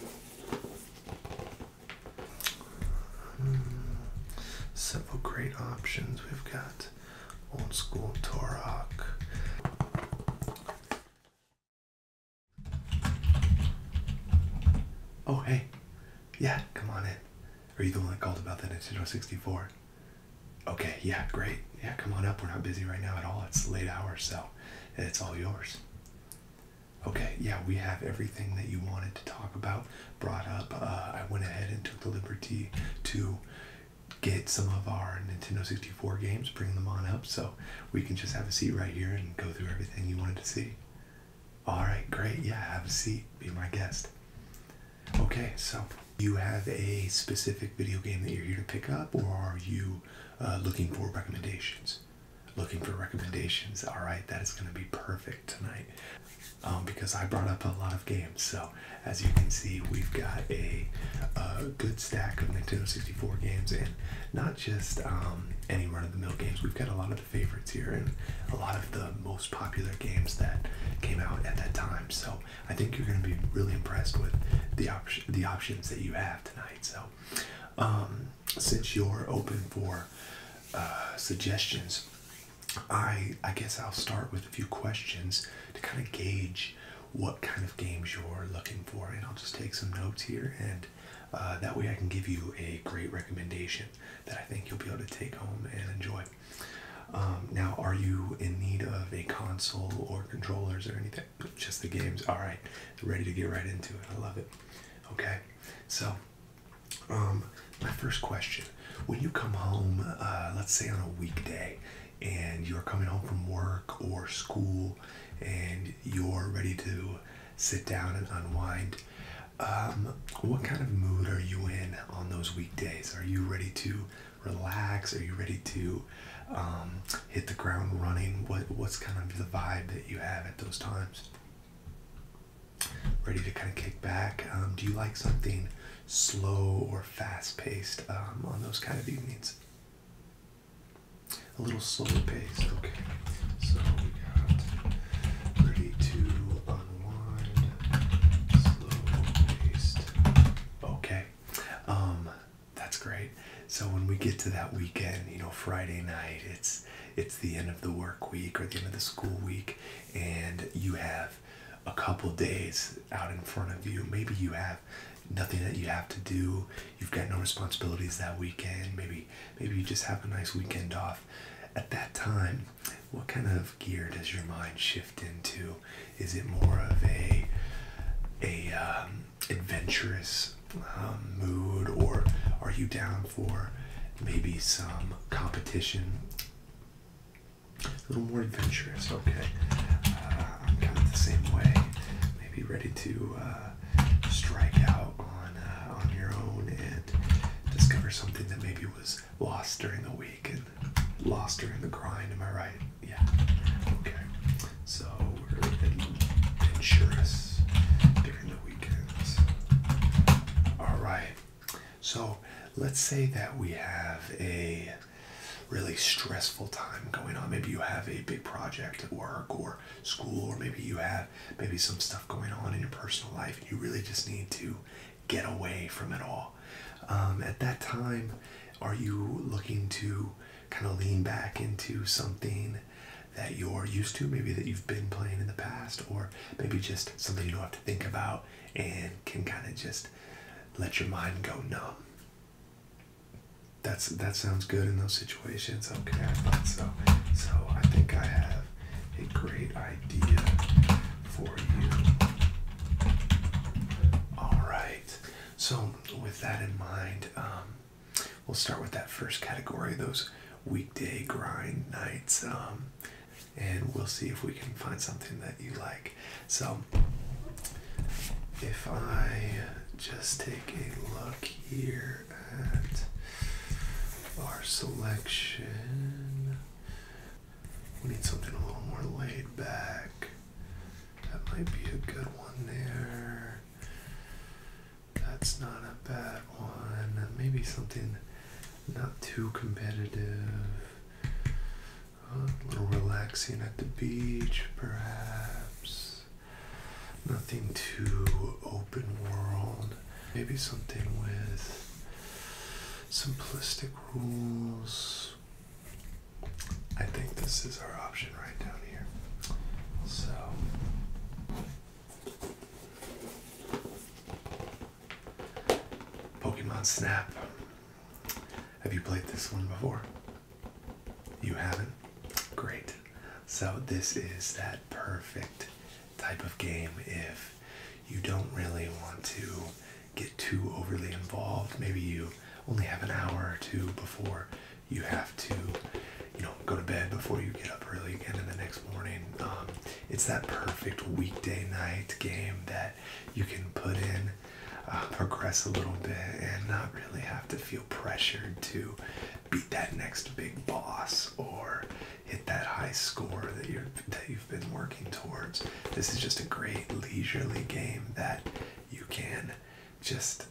Hmm. Several great options. We've got old school Torok. Oh, hey. Yeah, come on in. Are you the one that called about the Nintendo 64? Okay, yeah, great. Yeah, come on up. We're not busy right now at all. It's late hours, so it's all yours. Okay, yeah, we have everything that you wanted to talk about brought up. Uh, I went ahead and took the liberty to get some of our Nintendo 64 games, bring them on up so we can just have a seat right here and go through everything you wanted to see. All right, great. Yeah, have a seat. Be my guest. Okay, so you have a specific video game that you're here to pick up, or are you uh, looking for recommendations? looking for recommendations. All right, that is going to be perfect tonight um, because I brought up a lot of games. So, as you can see, we've got a, good stack of Nintendo 64 games and not just um, any run of the mill games. We've got a lot of the favorites here and a lot of the most popular games that came out at that time. So, I think you're going to be really impressed with the, op the options that you have tonight. So, um, since you're open for uh, suggestions, I I guess I'll start with a few questions to kind of gauge what kind of games you're looking for, and I'll just take some notes here, and uh, that way I can give you a great recommendation that I think you'll be able to take home and enjoy. Um, now, are you in need of a console or controllers or anything? Just the games. All right, ready to get right into it. I love it. Okay, so, um, my first question when you come home, uh, let's say on a weekday, and you're coming home from work or school and you're ready to sit down and unwind, um, what kind of mood are you in on those weekdays? Are you ready to relax? Are you ready to um, hit the ground running? What, what's kind of the vibe that you have at those times? ready to kind of kick back. Um, do you like something slow or fast paced um, on those kind of evenings? A little slower paced, okay. So we got ready to unwind, slow paced. Okay, um, that's great. So when we get to that weekend, you know, Friday night, it's it's the end of the work week or the end of the school week, and you have a couple days out in front of you. Maybe you have nothing that you have to do. You've got no responsibilities that weekend. Maybe maybe you just have a nice weekend off. At that time, what kind of gear does your mind shift into? Is it more of a a um, adventurous um, mood, or are you down for maybe some competition? A little more adventurous, okay. Uh, I'm kind of the same way. Maybe ready to uh, strike out on uh, on your own and discover something that maybe was lost during the week and lost during the grind. Am I right? Yeah. Okay. So we're adventurous during weekends. All right. So let's say that we have a really stressful time going on. Maybe you have a big project at work or school, or maybe you have maybe some stuff going on in your personal life, and you really just need to get away from it all. Um, at that time, are you looking to kind of lean back into something that you're used to, maybe that you've been playing in the past, or maybe just something you don't have to think about and can kind of just let your mind go numb. That's that sounds good in those situations. Okay, I thought so. So I think I have a great idea for you. All right. So with that in mind, um, We'll start with that first category, those weekday grind nights, um, and we'll see if we can find something that you like. So, if I just take a look here at our selection, we need something a little more laid back. That might be a good one there. That's not a bad one. Uh, maybe something not too competitive. Uh, a little relaxing at the beach, perhaps. Nothing too open world. Maybe something with simplistic rules. I think this is our option right down here. So. Pokemon Snap. Have you played this one before? You haven't? Great. So, this is that perfect type of game if you don't really want to get too overly involved. Maybe you only have an hour or two before you have to, you know, go to bed before you get up early again in the next morning. Um, it's that perfect weekday night game that you can put in, uh, progress a little bit, and not really have to feel pressured to beat that next big boss or hit that high score that you're that you've been working towards. This is just a great leisurely game that you can just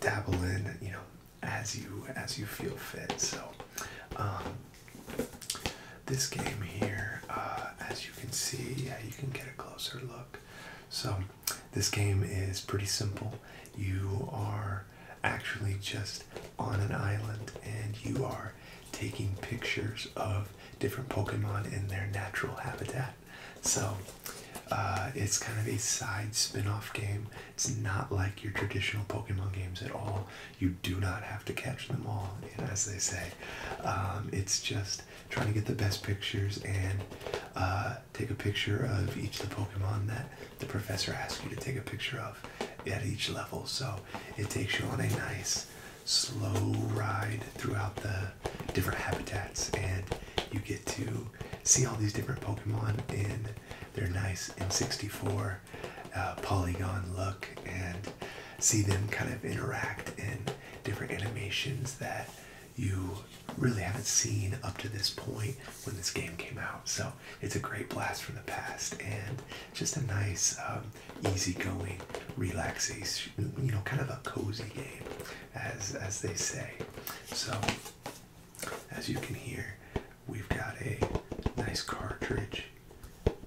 dabble in, you know, as you as you feel fit. So, um, this game here, uh, as you can see, yeah, you can get a closer look. So, this game is pretty simple. You are actually just on an island, and you are taking pictures of different Pokemon in their natural habitat. So, uh, it's kind of a side spin off game it's not like your traditional Pokemon games at all. You do not have to catch them all, and as they say, um, it's just trying to get the best pictures and uh, take a picture of each of the Pokemon that the professor asks you to take a picture of at each level. So it takes you on a nice slow ride throughout the different habitats, and you get to see all these different Pokemon in they're nice M64 uh, polygon look and see them kind of interact in different animations that you really haven't seen up to this point when this game came out. So it's a great blast from the past and just a nice, um, easygoing, relaxation, you know, kind of a cozy game, as as they say. So as you can hear, we've got a nice cartridge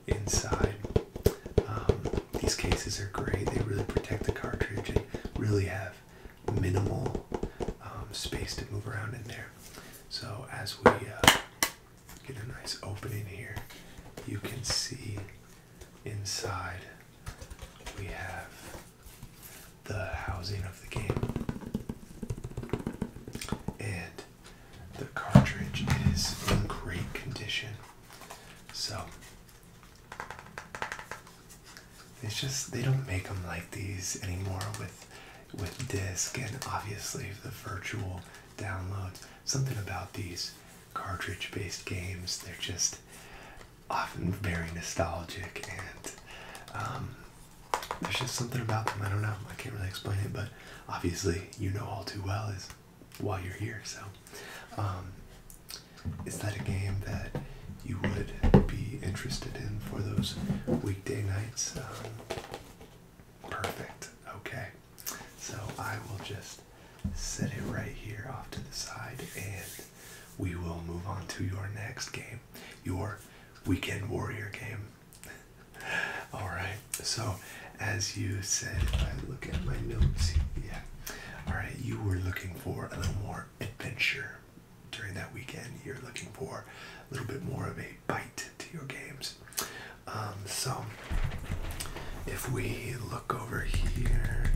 inside. Um, these cases are great, they really protect the cartridge They really have minimal um, space to move around in there. So, as we uh, get a nice opening here, you can see inside we have the housing of the game. And the cartridge is in great condition. So it's just they don't make them like these anymore with with disc and obviously the virtual downloads. Something about these cartridge-based games, they're just often very nostalgic and um, there's just something about them. I don't know. I can't really explain it, but obviously you know all too well is why you're here. So, um, is that a game that you would be interested in for those weekday nights? Um, perfect. Okay. So I will just set it right here off to the side, and we will move on to your next game, your weekend warrior game. All right. So, as you said, I look at my notes, yeah. All right. You were looking for a little more adventure during that weekend. You're looking for a little bit more of a bite to your games. Um, so, if we look over here,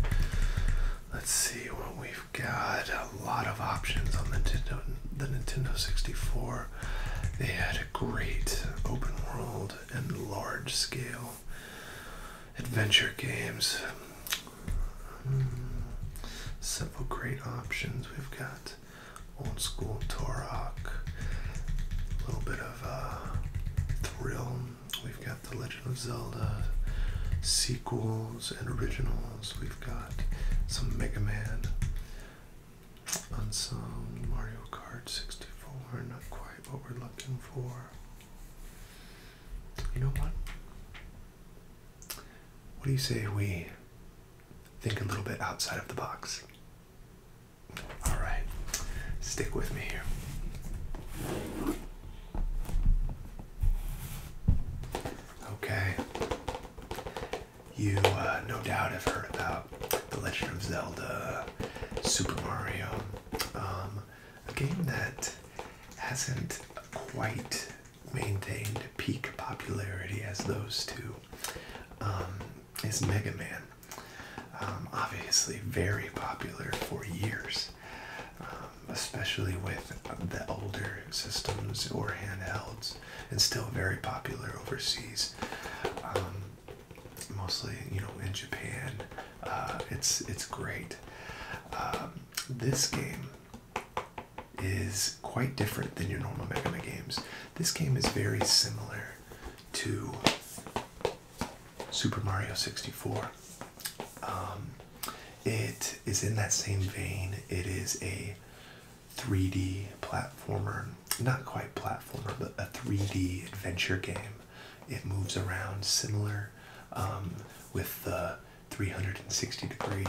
let's see what we've got a lot of options on the Nintendo, the Nintendo 64. They had a great open world and large scale adventure games. Hmm. several great options. We've got old school Torok, a little bit of uh, thrill. We've got The Legend of Zelda sequels and originals. We've got some Mega Man, on some Mario Kart 64. Not quite what we're looking for. You know what? What do you say we think a little bit outside of the box? All right, stick with me here. Okay, you uh, no doubt have heard about The Legend of Zelda, Super Mario, um, a game that hasn't quite maintained peak popularity as those two um, is Mega Man. Um, obviously, very popular for years, especially with the older systems or handhelds and still very popular overseas. Um, mostly, you know, in Japan, uh, it's it's great. Um, this game is quite different than your normal Mega Man games. This game is very similar to Super Mario 64. Um, it is in that same vein. It is a 3D platformer. Not quite platformer, but a 3D adventure game. It moves around similar um, with the 360 degree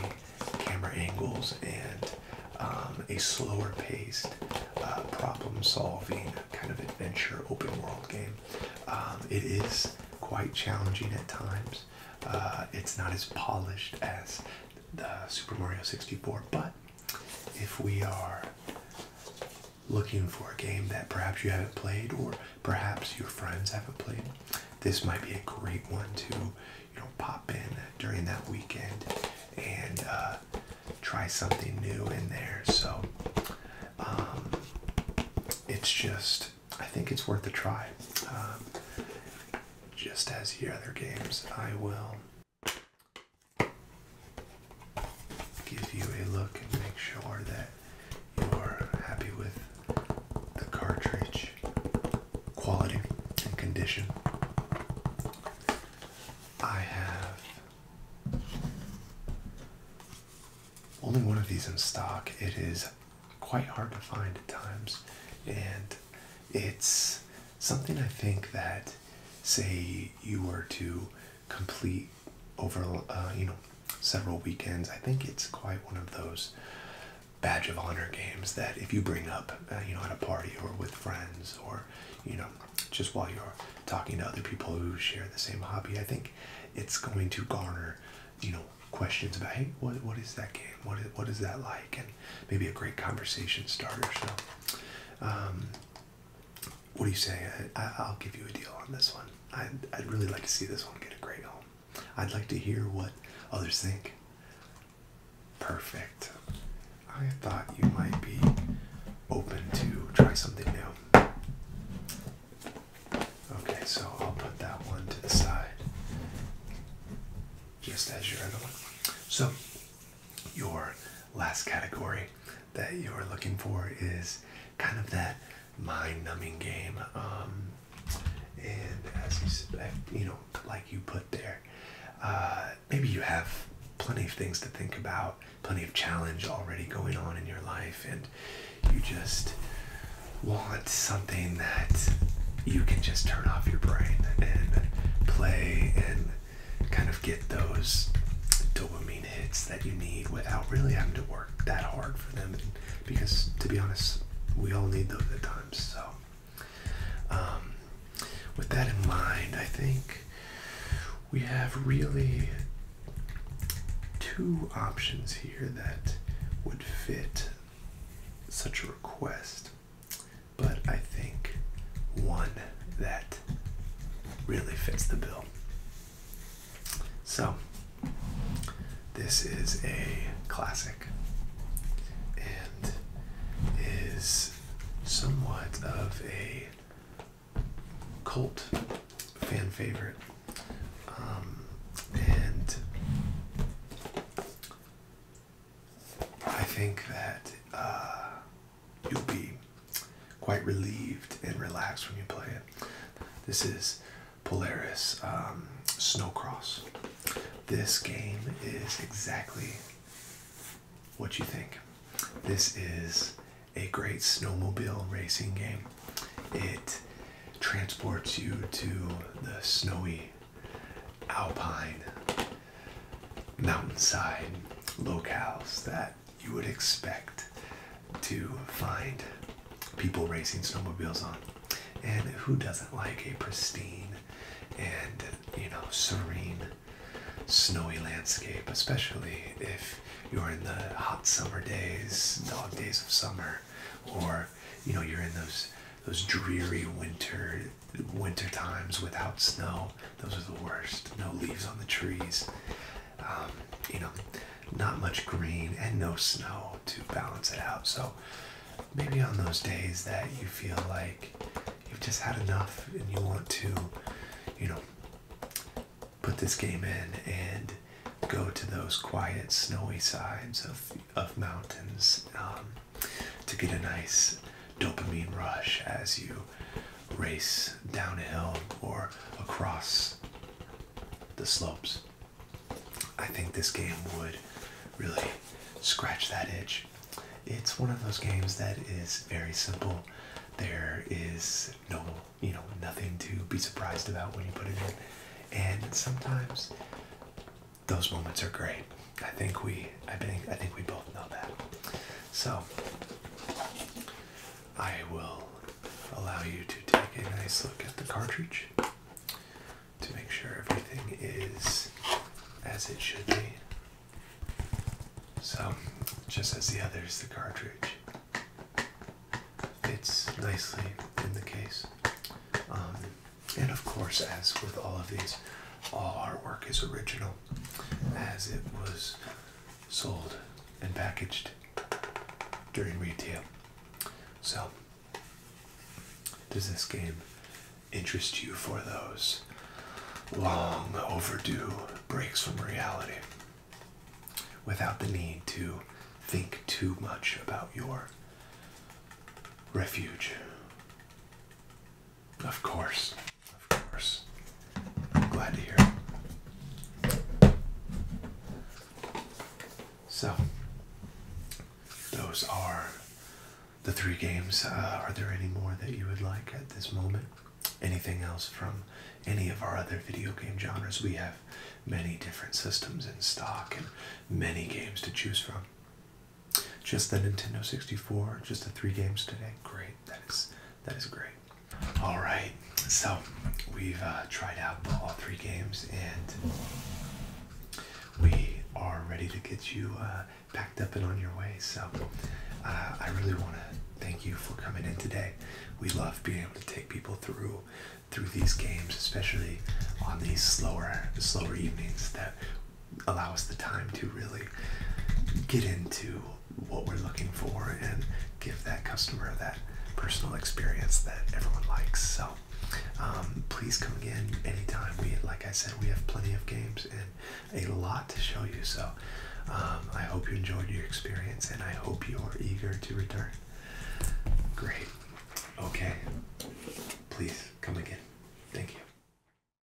camera angles and um, a slower paced uh, problem solving kind of adventure open world game. Um, it is quite challenging at times. Uh, it's not as polished as the Super Mario 64. But if we are looking for a game that perhaps you haven't played or perhaps your friends haven't played, this might be a great one to you know pop in during that weekend and uh, try something new in there. So um, it's just I think it's worth a try. Um, just as the other games, I will give you a look and make sure that you are happy with the cartridge quality and condition. I have only one of these in stock. It is quite hard to find at times, and it's something I think that, say, you were to complete over, uh, you know, several weekends. I think it's quite one of those badge of honor games that if you bring up, uh, you know, at a party or with friends or, you know, just while you're talking to other people who share the same hobby, I think it's going to garner, you know, questions about, hey, what, what is that game? What is, what is that like? maybe a great conversation starter. So, um, what do you say? I, will give you a deal on this one. I'd, I'd really like to see this one get a great home. I'd like to hear what others think. Perfect. I thought you might be open to try something new. Okay, so I'll put that one to the side just as your other one. So your last category that you're looking for is kind of that mind-numbing game um, and as you you know like you put there uh, maybe you have plenty of things to think about plenty of challenge already going on in your life and you just want something that you can just turn off your brain and play and kind of get those dopamine hits that you need without really having to work that hard for them. because to be honest, we all need those at times. So, um, with that in mind, I think we have really two options here that would fit such a request but I think one that really fits the bill. So, this is a classic and is somewhat of a cult fan favorite. Um, and I think that uh, you'll be quite relieved and relaxed when you play it. This is Polaris um, Snowcross. This game is exactly what you think. This is a great snowmobile racing game. It transports you to the snowy alpine, mountainside locales that you would expect to find people racing snowmobiles on. And who doesn't like a pristine and, you know, serene snowy landscape, especially if you're in the hot summer days, dog days of summer, or you know, you're in those those dreary winter winter times without snow those are the worst no leaves on the trees um, you know not much green and no snow to balance it out so maybe on those days that you feel like you've just had enough and you want to you know put this game in and go to those quiet snowy sides of, of mountains um, to get a nice dopamine rush as you race downhill or across the slopes. I think this game would really scratch that itch. It's one of those games that is very simple. There is no, you know, nothing to be surprised about when you put it in. And sometimes those moments are great. I think we I think I think we both know that. So I will allow you to take a nice look at the cartridge to make sure everything is as it should be. So just as the others the cartridge fits nicely in the case. Um, and of course, as with all of these, all our work is original as it was sold and packaged during retail. So, does this game interest you for those long overdue breaks from reality without the need to think too much about your refuge? Of course. Of course. I'm glad to hear it. So, those are the three games. Uh, are there any more that you would like at this moment? Anything else from any of our other video game genres? We have many different systems in stock and many games to choose from. Just the Nintendo 64, just the three games today. Great. That is that is great. All right. So, we've uh, tried out all three games and we are ready to get you uh, packed up and on your way. So, uh, I really want to thank you for coming in today. We love being able to take people through through these games, especially on these slower slower evenings that allow us the time to really get into what we're looking for and give that customer that personal experience that everyone likes. So um, please come again anytime. We, like I said, we have plenty of games and a lot to show you. So um, I hope you enjoyed your experience and I hope you are eager to return. Great. Okay. Please come again. Thank you.